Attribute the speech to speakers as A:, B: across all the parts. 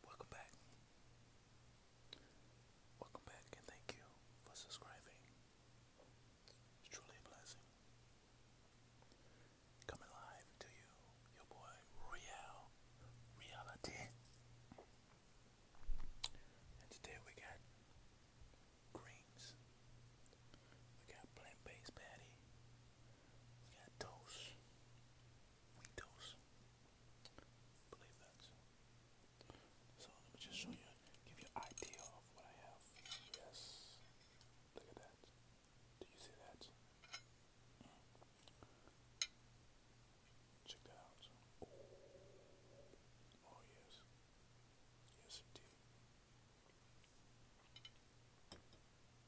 A: Welcome back. Welcome back, and thank you for subscribing. It's truly a blessing. Coming live to you, your boy Royale Reality. And today we got greens, we got plant based patty, we got Dose. Wing Dose. believe that's so let me just show you give you idea of what I have. Yes. Look at that. Do you see that? Check that out. oh yes. Yes indeed.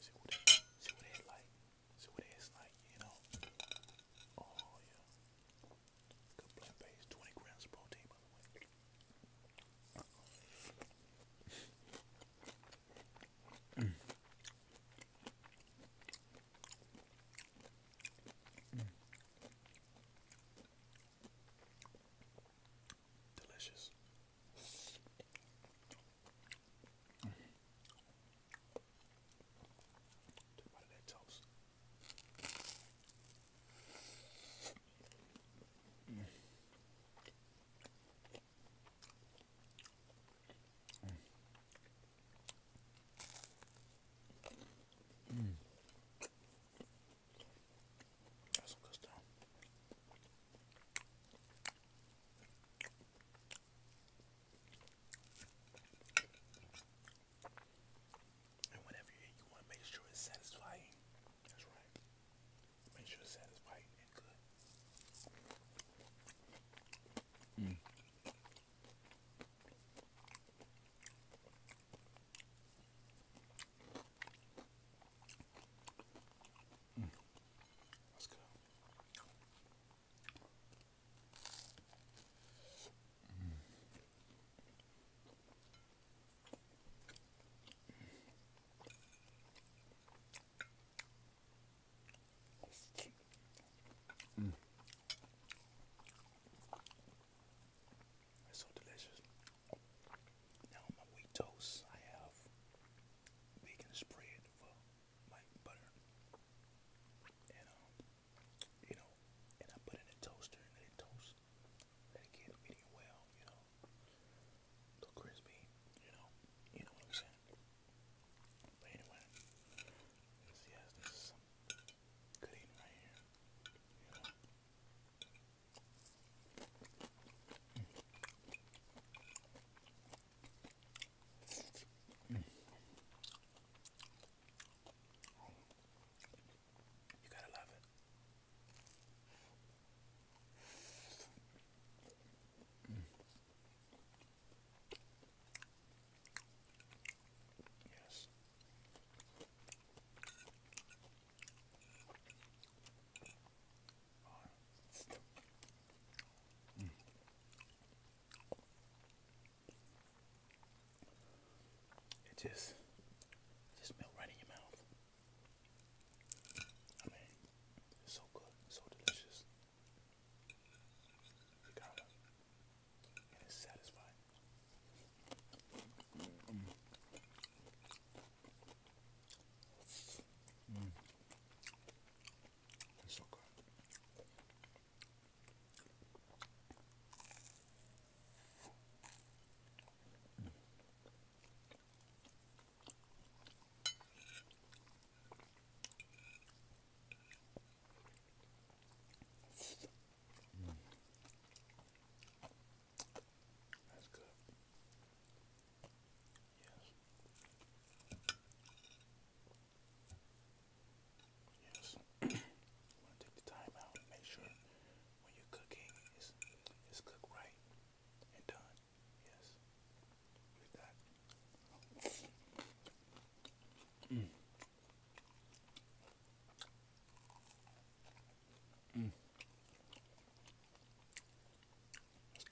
A: See what it, like. See what it's like, you know. Oh yeah. twenty grams protein Delicious. Take a That's good stuff. And whenever you eat, you want to make sure it's satisfying. That's right. Make sure it's satisfying and good. Mm. Mm. It's so delicious. Now, on my wheat toast, I have vegan spread well, uh, butter. And um, you know, and I put it in toaster and let it toast. Let it get medium well, you know. A little crispy, you know. You know what I'm saying? But anyway, yes, this is some good eating right here. You know. You gotta love it. Mm. Yes. Oh. Mm. It just just melt right in your mouth. I mean, it's so good, so delicious. You got it. it's satisfying. Mm. mm. It's good. Mm. That's good. Yes. Yes. take the time out make sure when you're cooking it's, it's cooked right and done. Yes. With that. Mm. Mm. That's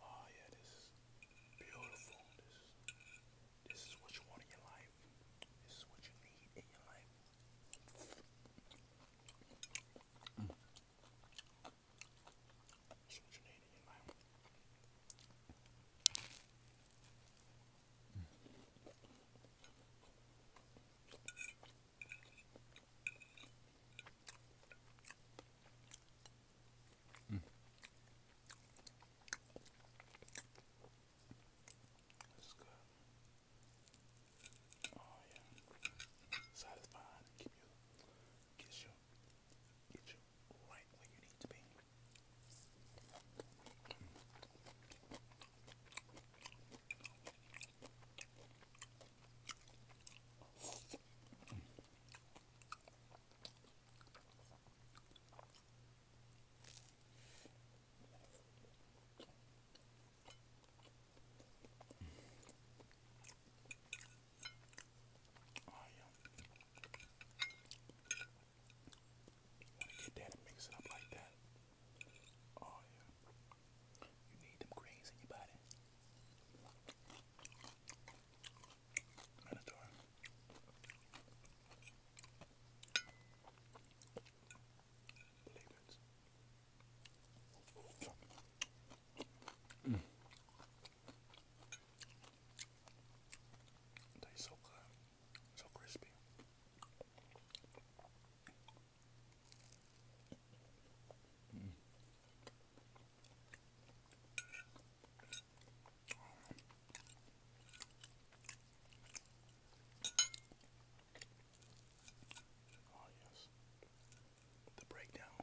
A: Oh ah, yeah, this is beautiful. This is this is what you want in your life life. This is what you need in your life. This is what you need in your life. Mm. Mm. This Oh yeah. Satisfying. Keep you get you get you right where you need to be. Oh, yeah. Want to get that and mix it up like that. Oh, yeah. You need them greens in your body. Mandatory. Mm. Tastes so good, so crispy. Mm. Oh, yes. The breakdown.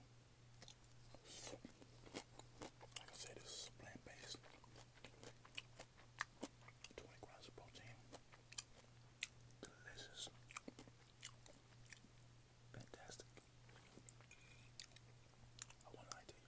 A: Like I said, this plant based. 20 grams of protein. Delicious. Fantastic. I want an idea.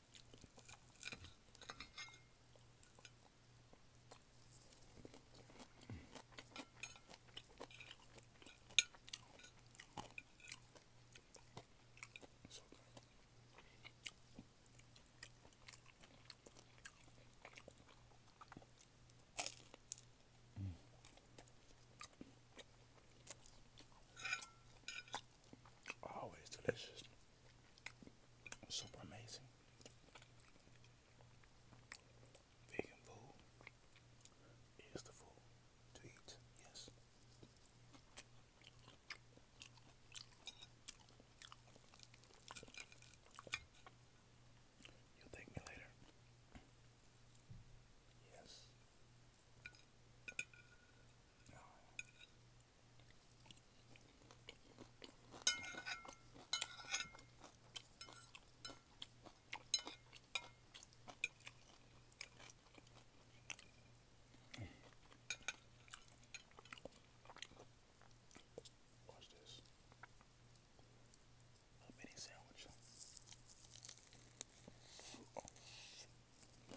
A: So good. Always delicious. Super amazing. Vegan food is the food to eat, yes. You'll thank me later. Yes. Watch this. A mini sandwich. Oh.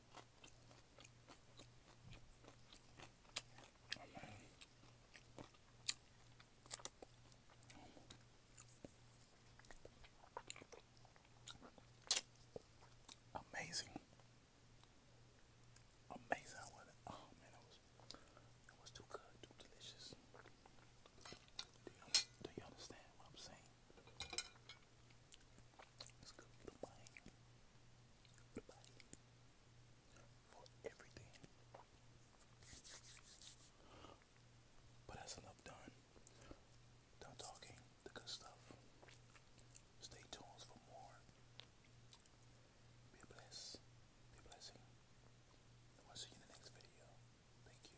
A: Amazing. Amazing oh man it was it was too good, too delicious. do you understand what I'm saying? But that's enough done. Done talking the good stuff. Stay tuned for more. Be blessed. Be blessing. And will see you in the next video. Thank you.